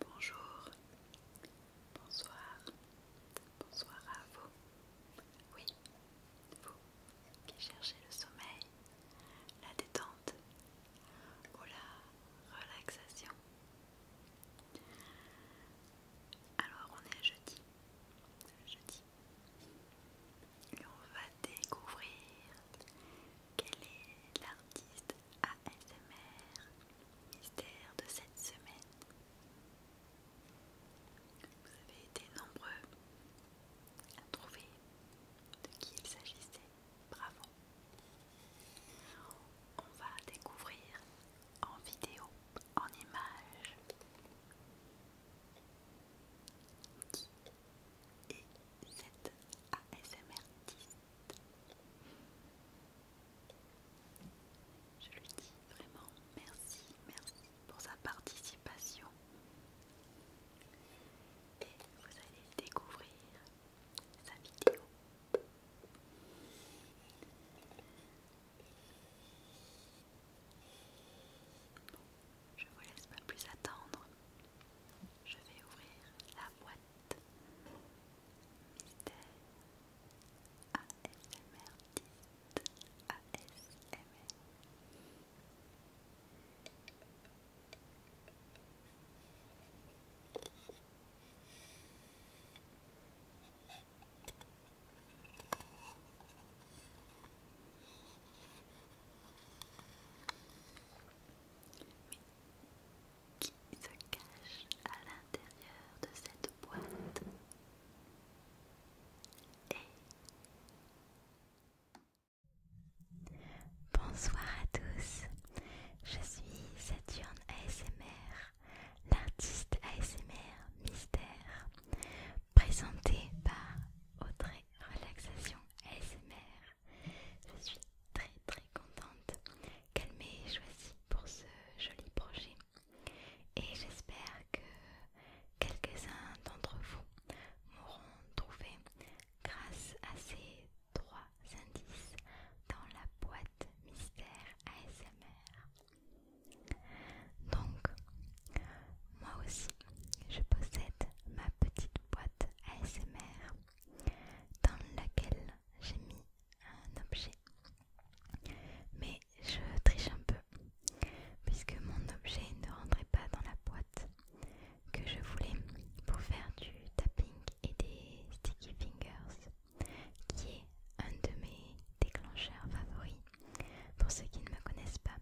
Bonjour, bonsoir, bonsoir à vous. Oui, vous qui cherchez le sommeil, la détente ou la relaxation. Alors on est à jeudi, jeudi, et on va découvrir quel est l'artiste ASMR mystère de cette semaine Vous avez été nombreux à trouver de qui il s'agissait. Bravo On va découvrir en vidéo, en images, qui est cette ASMR Je lui dis vraiment merci, merci pour sa participation. Et vous allez découvrir sa vidéo. Je vous laisse pas plus attendre. Je vais ouvrir la boîte qui se cache à l'intérieur de cette boîte Bonsoir à tous, je suis Saturne ASMR, l'artiste ASMR mystère, présenté par Audrey Relaxation ASMR. Je suis très très contente qu'elle m'ait choisi pour ce joli projet et j'espère que quelques-uns d'entre vous m'auront trouvé grâce à ces trois indices dans la boîte mystère ASMR. Donc, moi aussi je possède ma petite boîte ASMR dans laquelle j'ai mis un objet. Mais je triche un peu, puisque mon objet ne rentrait pas dans la boîte que je voulais pour faire du tapping et des sticky fingers, qui est un de mes déclencheurs favoris pour ceux qui ne me connaissent pas.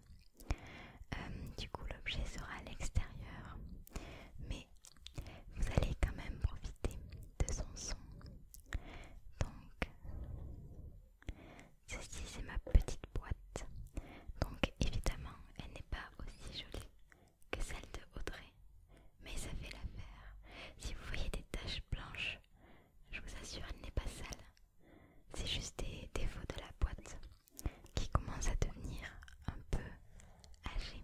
Euh, du coup, l'objet sera à l'extérieur, mais vous allez quand même profiter de son son. Donc, ceci c'est ma petite boîte. Donc, évidemment, elle n'est pas aussi jolie que celle de Audrey, mais ça fait l'affaire. Si vous voyez des taches blanches, je vous assure, elle n'est pas sale. C'est juste des défauts de la boîte qui commence à devenir un peu âgé.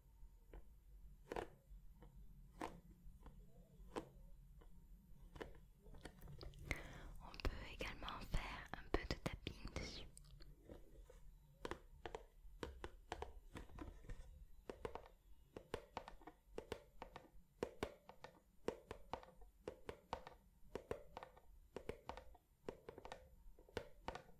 On peut également faire un peu de tapping dessus.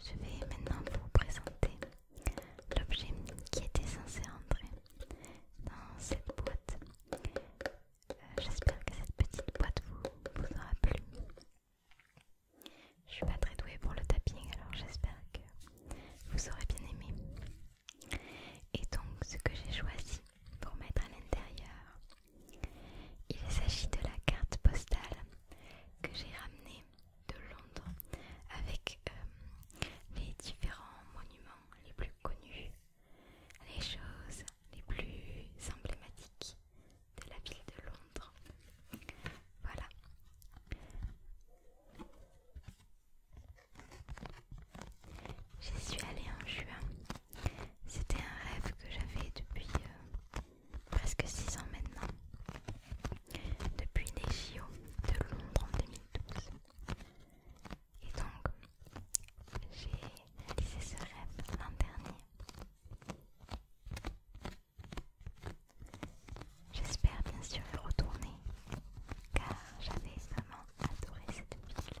Je vais maintenant vous présenter l'objet qui était censé entrer dans cette boîte. Euh, j'espère que cette petite boîte vous, aura plu. Je suis pas très douée pour le tapping, alors j'espère que vous aurez bien aimé. Et donc, ce que j'ai choisi pour mettre à l'intérieur, il s'agit de la carte postale que j'ai ramenée de Londres avec euh, les différents monuments les plus connus, les choses les plus emblématiques de la ville de Londres. Voilà. J'y suis allée en juin. C'était un rêve que j'avais depuis euh, presque 6 ans maintenant, depuis les JO de Londres en 2012. Et donc, j'ai réalisé ce rêve l'an dernier. J'espère bien sûr y retourner, car j'avais vraiment adoré cette ville.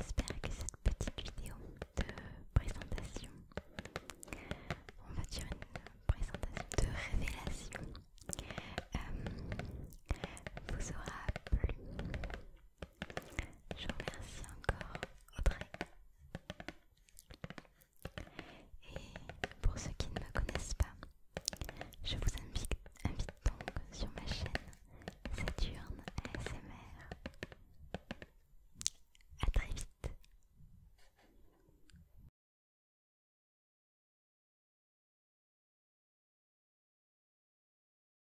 J'espère que cette petite vidéo de présentation, on va dire une présentation de révélation, euh, vous aura plu. Je vous remercie encore, Audrey. Et pour ceux qui ne me connaissent pas, je vous invite, donc sur ma chaîne Saturne ASMR. à très vite.